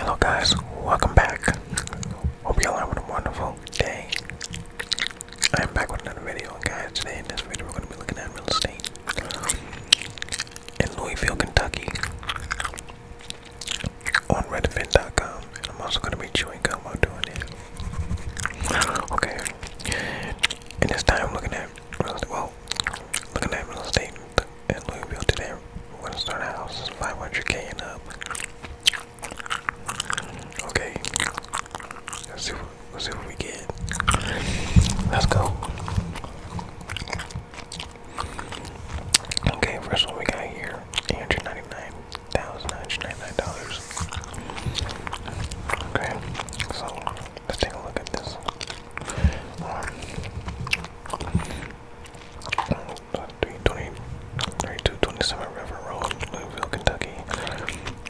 Hello guys, welcome back. Hope y'all having a wonderful day. I am back with another video, guys. Today in this video, we're gonna be looking at real estate in Louisville, Kentucky, on Redfin.com, and I'm also gonna be showing chewing gum while doing it. Okay, and this time I'm looking at well, looking at real estate in Louisville today, we're gonna start a house, is 500k up. Okay, what, let's see what we get. Let's go. Okay, first one we got here, eight hundred ninety nine thousand nine hundred ninety nine dollars. Okay, so let's take a look at this. 27 River Road, Louisville, Kentucky,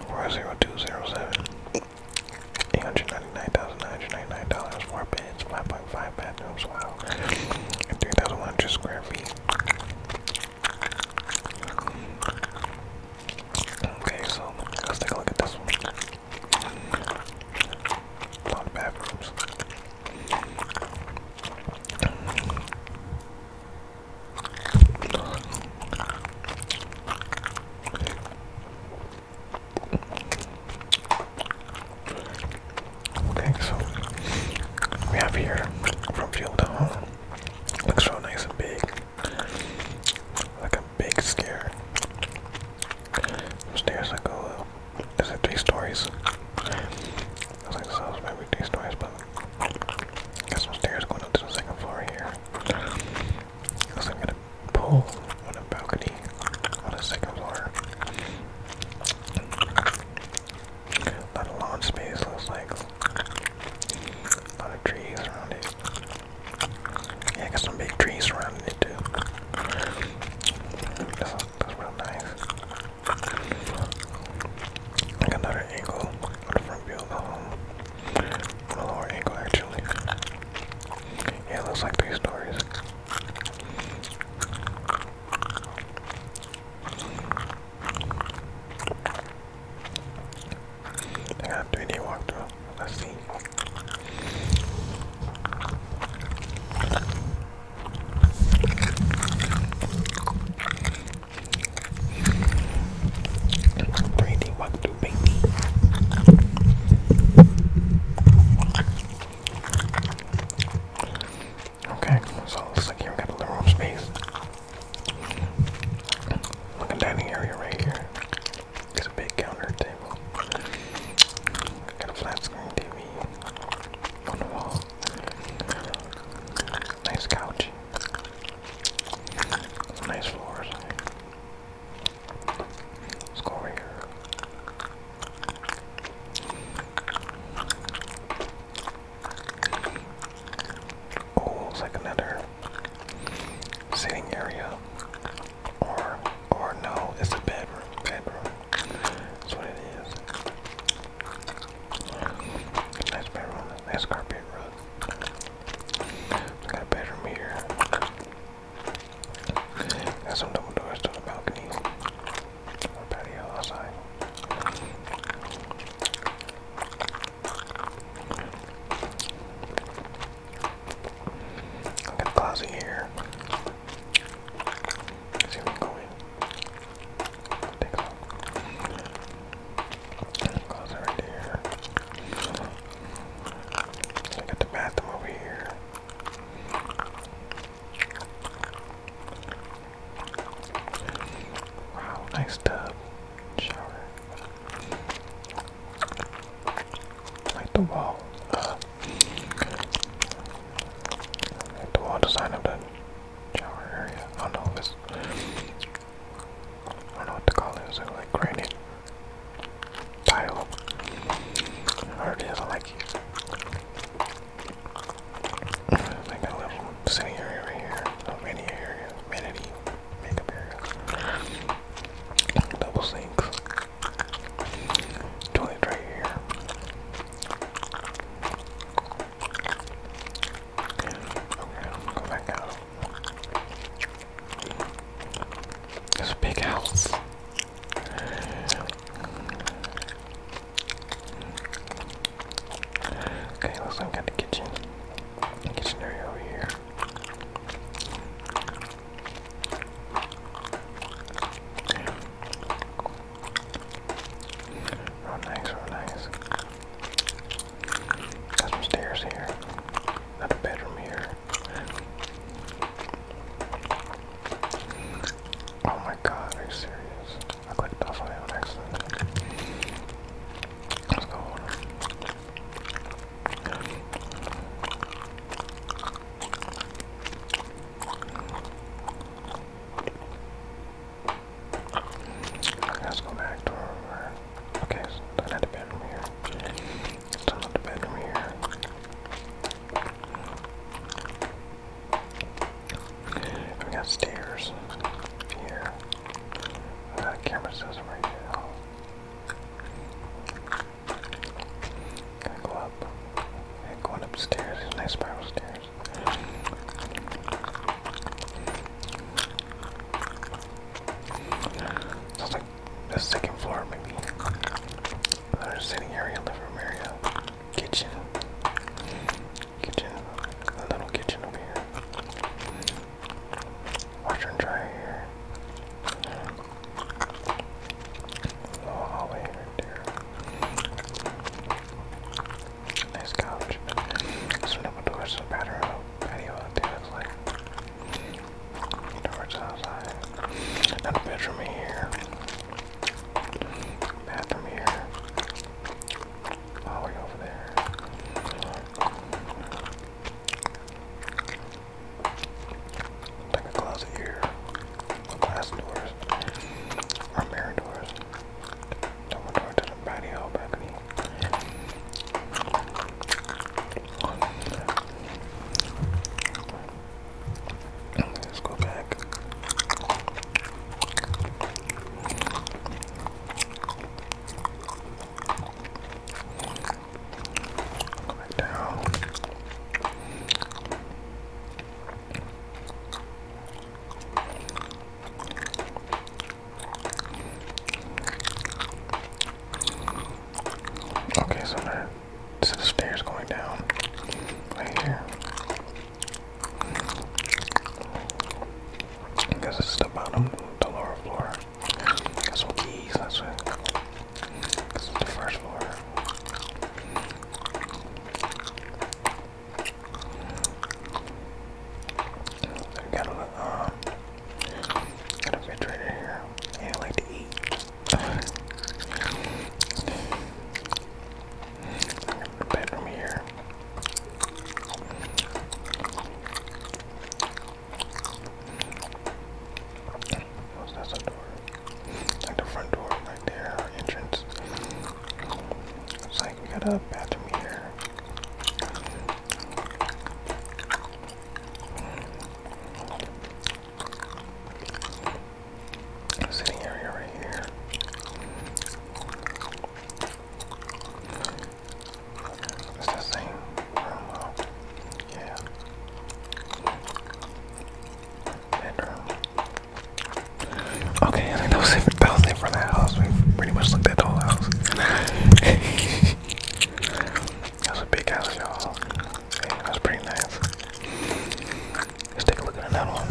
40207. $899,999, 4 beds, 5.5 bathrooms, wow, and 3,100 square feet. Okay, so let's take a look at this one. Okay, so we have here from field to Looks real nice and big. Like a big scare. Upstairs I go, is it three stories? I like, it's maybe three stories, but got some stairs going up to the second floor here. Because I'm gonna pull on a balcony on the second floor. A lot space looks like trees around it. Yeah, got some big trees surrounding it too. That's, real nice. I another angle on the front view the lower angle actually. Yeah, looks like three stories. I are gonna have to be a walkthrough. Let's see. Three D walkthrough, baby. Okay, so it looks like here got a little room space. Look at dining area right here. There's a big counter table. got a flat screen TV on Nice couch. nice floors. Let's Oh, it's like sitting area, or or no, it's a bedroom. Bedroom. That's what it is. Nice bedroom. Nice carpet rug. I got a bedroom here. Got some double doors to the balcony. Patio outside i got a Clausy here. Let's see go in. a look. right there. I got the bathroom over here. Wow, nice tub shower. Like the wall. the wall design of the shower area. I know if I don't know what to call it. Is like granite tile? Or it is like like a little sitting area here. A mini area, vanity makeup area. Double sinks. Toilet right here. Okay, I'm go back out. It's big house. Okay, let's look at the kitchen. Kitchen area over here. Relax, relax. Got some stairs here. Got a bedroom here. Oh my god, are you serious? I clicked off on it on Let's go Okay, let's go back to where we Okay, so I had a bedroom here. It's another bedroom here. We got stairs here. Uh, camera says right now. Gotta go up. going upstairs. There's nice spiral stairs. Sounds like the second floor, maybe. Another sitting area, living area, kitchen, kitchen, little kitchen over here. Watch and try here. hallway oh, right Nice couch. There's another door to the patio, like doors outside. Another bedroom here. Bathroom here. Hallway over there. Like a closet here. Glass doors. Or mirror doors. door to the patio balcony. Let's go back. Okay, so there, the stairs going down right here. I guess this the bottom, the lower floor. Got some keys, that's it. This is the first floor. Got a um, got a bed right here. I like to eat. bedroom here. What's that the door? Like the front door, right there, our entrance. It's like got a bathroom here. Sitting area right here. It's the same room locked. Yeah. Bedroom. Okay, I think that was it for, that was house. We pretty much looked at the whole house. that a big house, y'all. Yeah, pretty nice. Let's take a look at another one.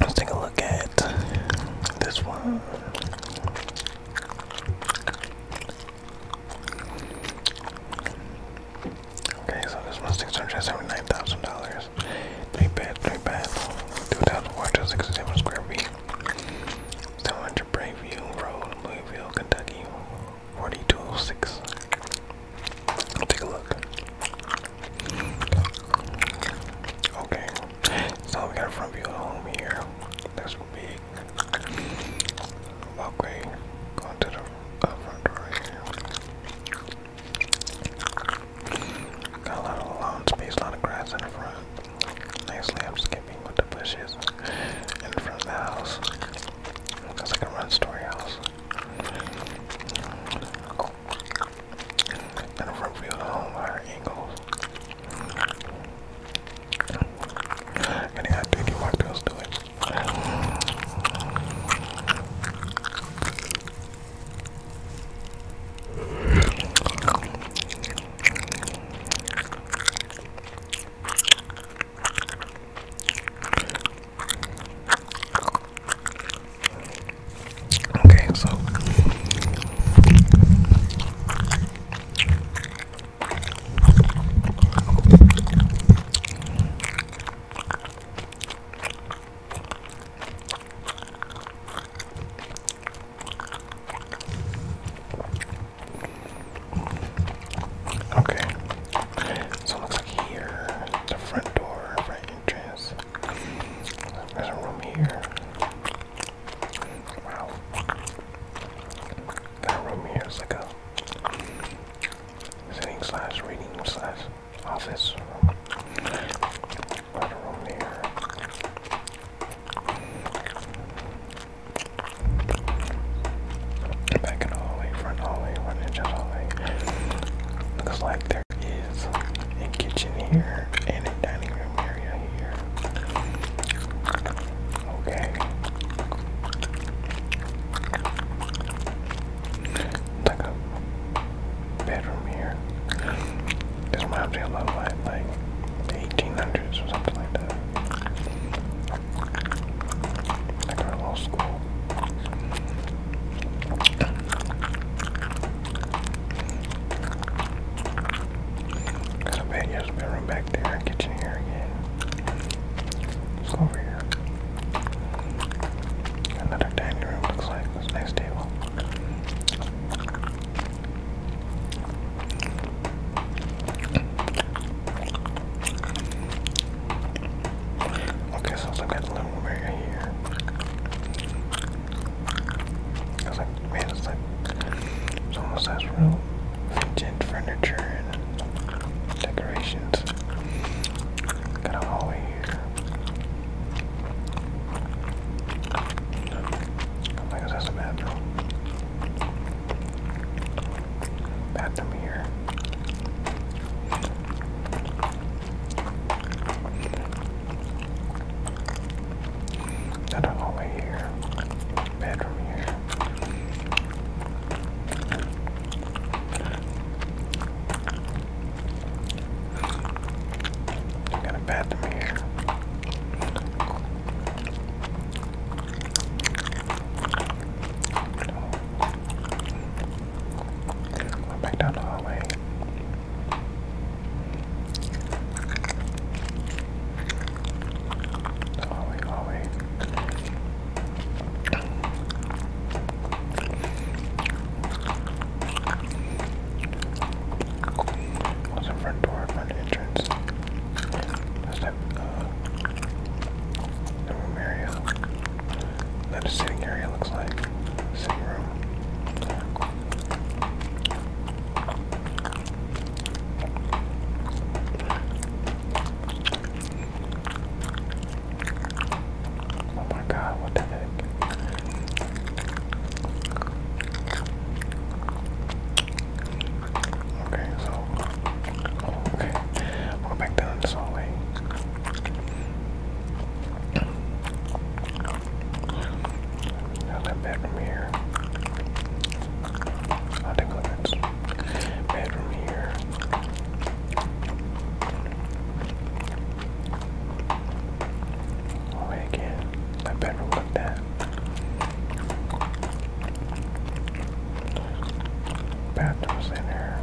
Let's take a look at this one. Okay, so this one's six hundred seventy-nine thousand dollars. Three bed, three bath, two thousand four hundred sixty-seven square feet. Seven hundred Bayview Road, Louisville, Kentucky, forty-two oh six. Take a look. Okay, so we got a front view of home here. That's big. Walkway going to the uh, front door Got a lot of lawn space, a lot of grass in the front. Nicely, i with the bushes in front of the house. Looks like a run story house and the front field home higher angles. And they had 3D markers to it. Okay, so Okay. So looks like here the front door, right there's a room here. Wow. That room here is like a sitting slash reading slash office room. There's room here. Back hallway, front hallway, front entrance hallway. Looks like is a kitchen here and a dining room area here. Okay. Like a bedroom here. This reminds a lot of like 1800s or something like that. Like our old school Got a banyo's bedroom back there, kitchen here again. Let's go over here. Another dining room looks like this nice table. Okay, so I've got a little area here. I like, man, it's like it's almost has real vintage furniture and decorations. Got a hallway here. I guess that's a bathroom. Bathroom here. Not a hallway here. Bedroom here. I got a bathroom here. Went back down the hallway. hallway, hallway. What's the front door, front entrance? That's uh, the room area. Not a sitting area, looks like. Sitting room. Oh my god, what the heck? Okay, so. Okay, we're back down this hallway. Now bedroom here. I think that's bedroom here. Oh again. That bedroom like that. Bathrooms in there.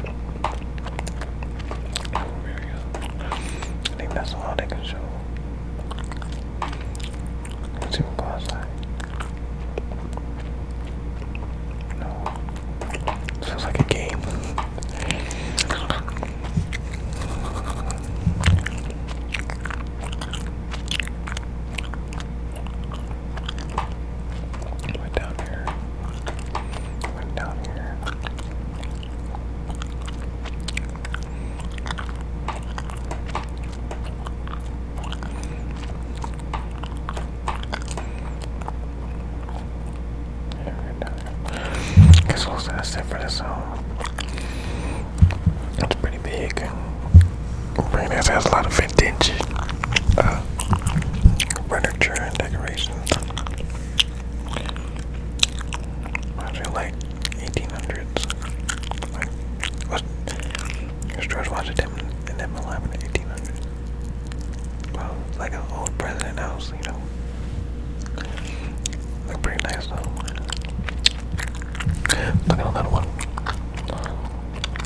I think that's all they can show. Let's see what go No. This feels like a game. Went down here. Went down here. Guess we'll set it for this home. Um, it's pretty big. Reyna's has a lot of vintage uh, furniture and decorations. I feel 1800s. George Washington and them alive Well, like an old president house, you know. Look pretty nice though. Look at another one.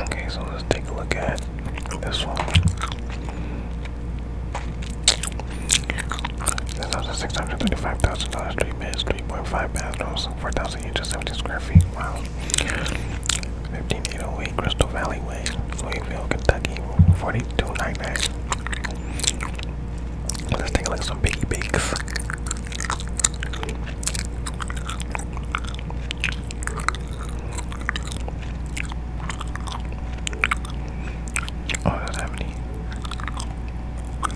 Okay, so let's take a look at this one. six hundred thirty-five thousand dollars. Three beds, three point five bathrooms, four thousand eight hundred seventy square feet. Wow. Fifteen eight oh eight Crystal Valley Way, Louisville, Kentucky. Forty-two nine nine. Let's take a look some biggie Oh, I don't have any. I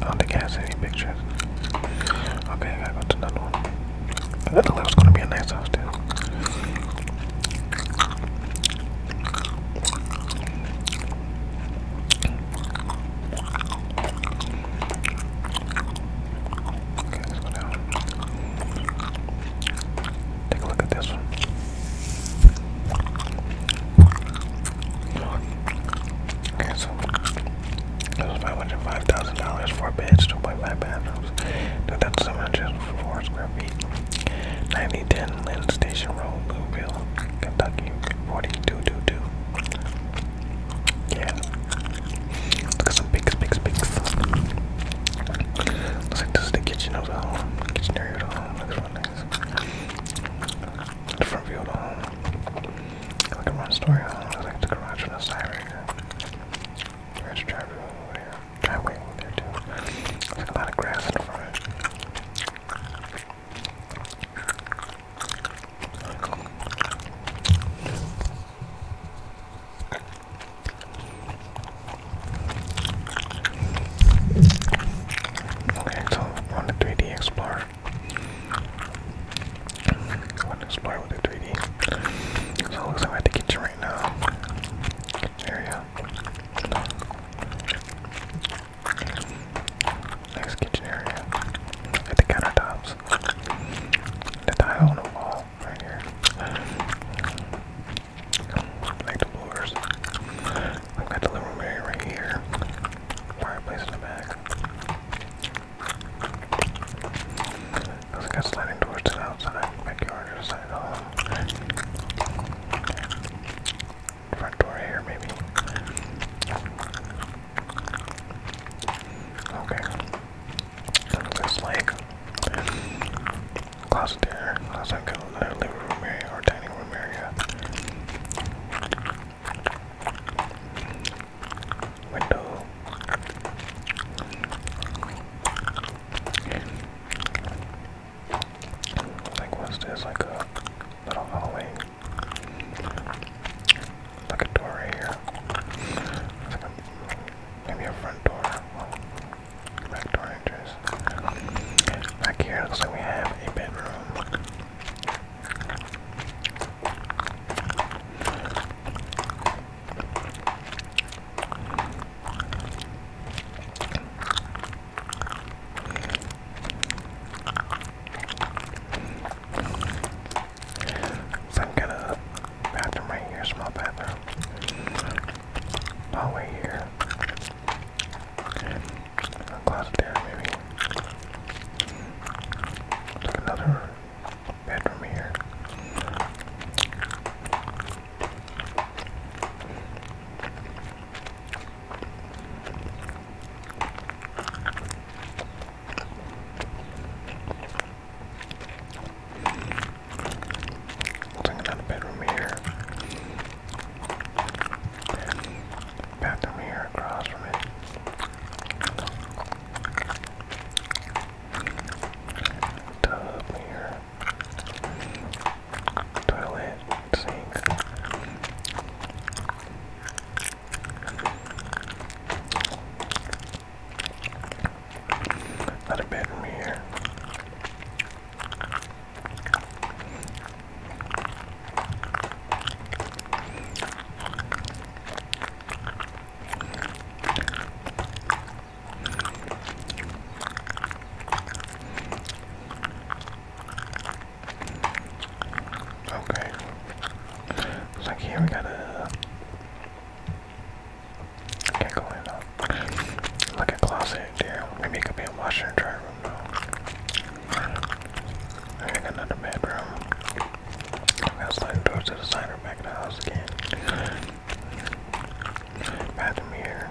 don't think I do any pictures. Okay, I got another one. That looks like gonna be a nice house too. Okay, Take a look at this one. Okay, so this was five hundred five thousand dollars for beds, two point five bathrooms, two thousand seven hundred four square feet, ninety ten. 10 Lynn Station Road, Louisville, Kentucky, 4222. Yeah. Look at some pics, pics, pics. Looks like this is the kitchen of the home. Kitchen area of the home. Looks real nice. The front view of the home. Like a one story home. Looks like the garage on the side right there. There's a driveway over here. Driveway over there too. Looks like a lot of grass in the front. Okay, so on the 3D Explorer, I want to explore with the 3D. So it looks like the kitchen right now. Kitchen area. Next kitchen area. at the countertops. The tile on the wall right here. Like the floors. I've got the living room area right here. Fireplace in the back. I also got sliding doors the outside, backyard, side hall front door here, maybe. Okay. Looks like closet there, closet go the living room area or dining room area. Window. Like, what's this? Like a little hallway. Like a door right here. Like a, maybe a front door. Well, back door entrance. Back here, looks like we have a bedroom. Some kind of bathroom right here, small bathroom. Hallway here. A closet there, maybe. There's another bedroom here. Looking at the bedroom here. Bathroom here across from it. Tub here toilet, sink. Not a bedroom here. Okay. It's here we gotta can't go in though. Like a closet there. Maybe it could be a washer and dryer room though. And another bedroom. I got sliding doors to the side back of the house again. Bathroom here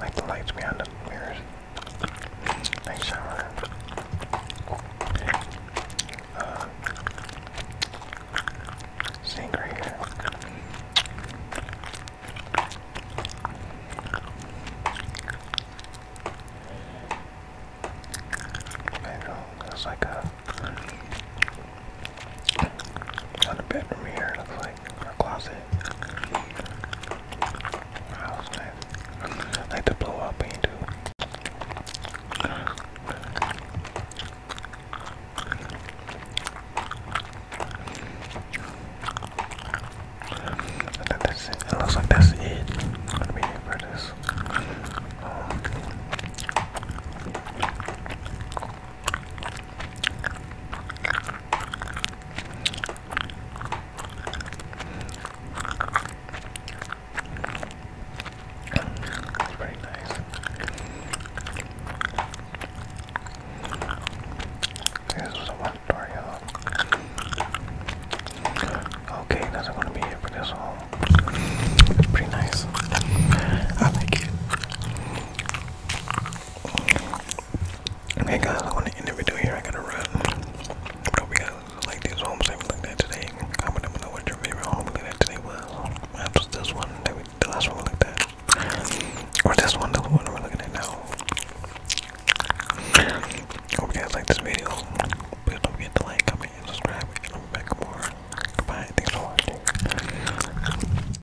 like the lights behind the mirrors. Make shower. Uh, right here. Bedroom. That's like a. On the bedroom here, looks like like closet. Wow, that's I like to blow up paint I think that's it. It looks like that's it. I'm going for this. Um, it's pretty nice. This was a one Okay, that's gonna be it for this home. It's pretty nice. I like it. Okay, guys, I want to end the video here. I gotta run. hope you guys like these homes that we looked at today. Comment down below what your favorite home we looked at today was. was this one the last one we looked at, or this one, the one we're looking at now. Hope you guys like this video. Please don't forget to like, comment, and subscribe. And back more. Goodbye. Thanks for watching.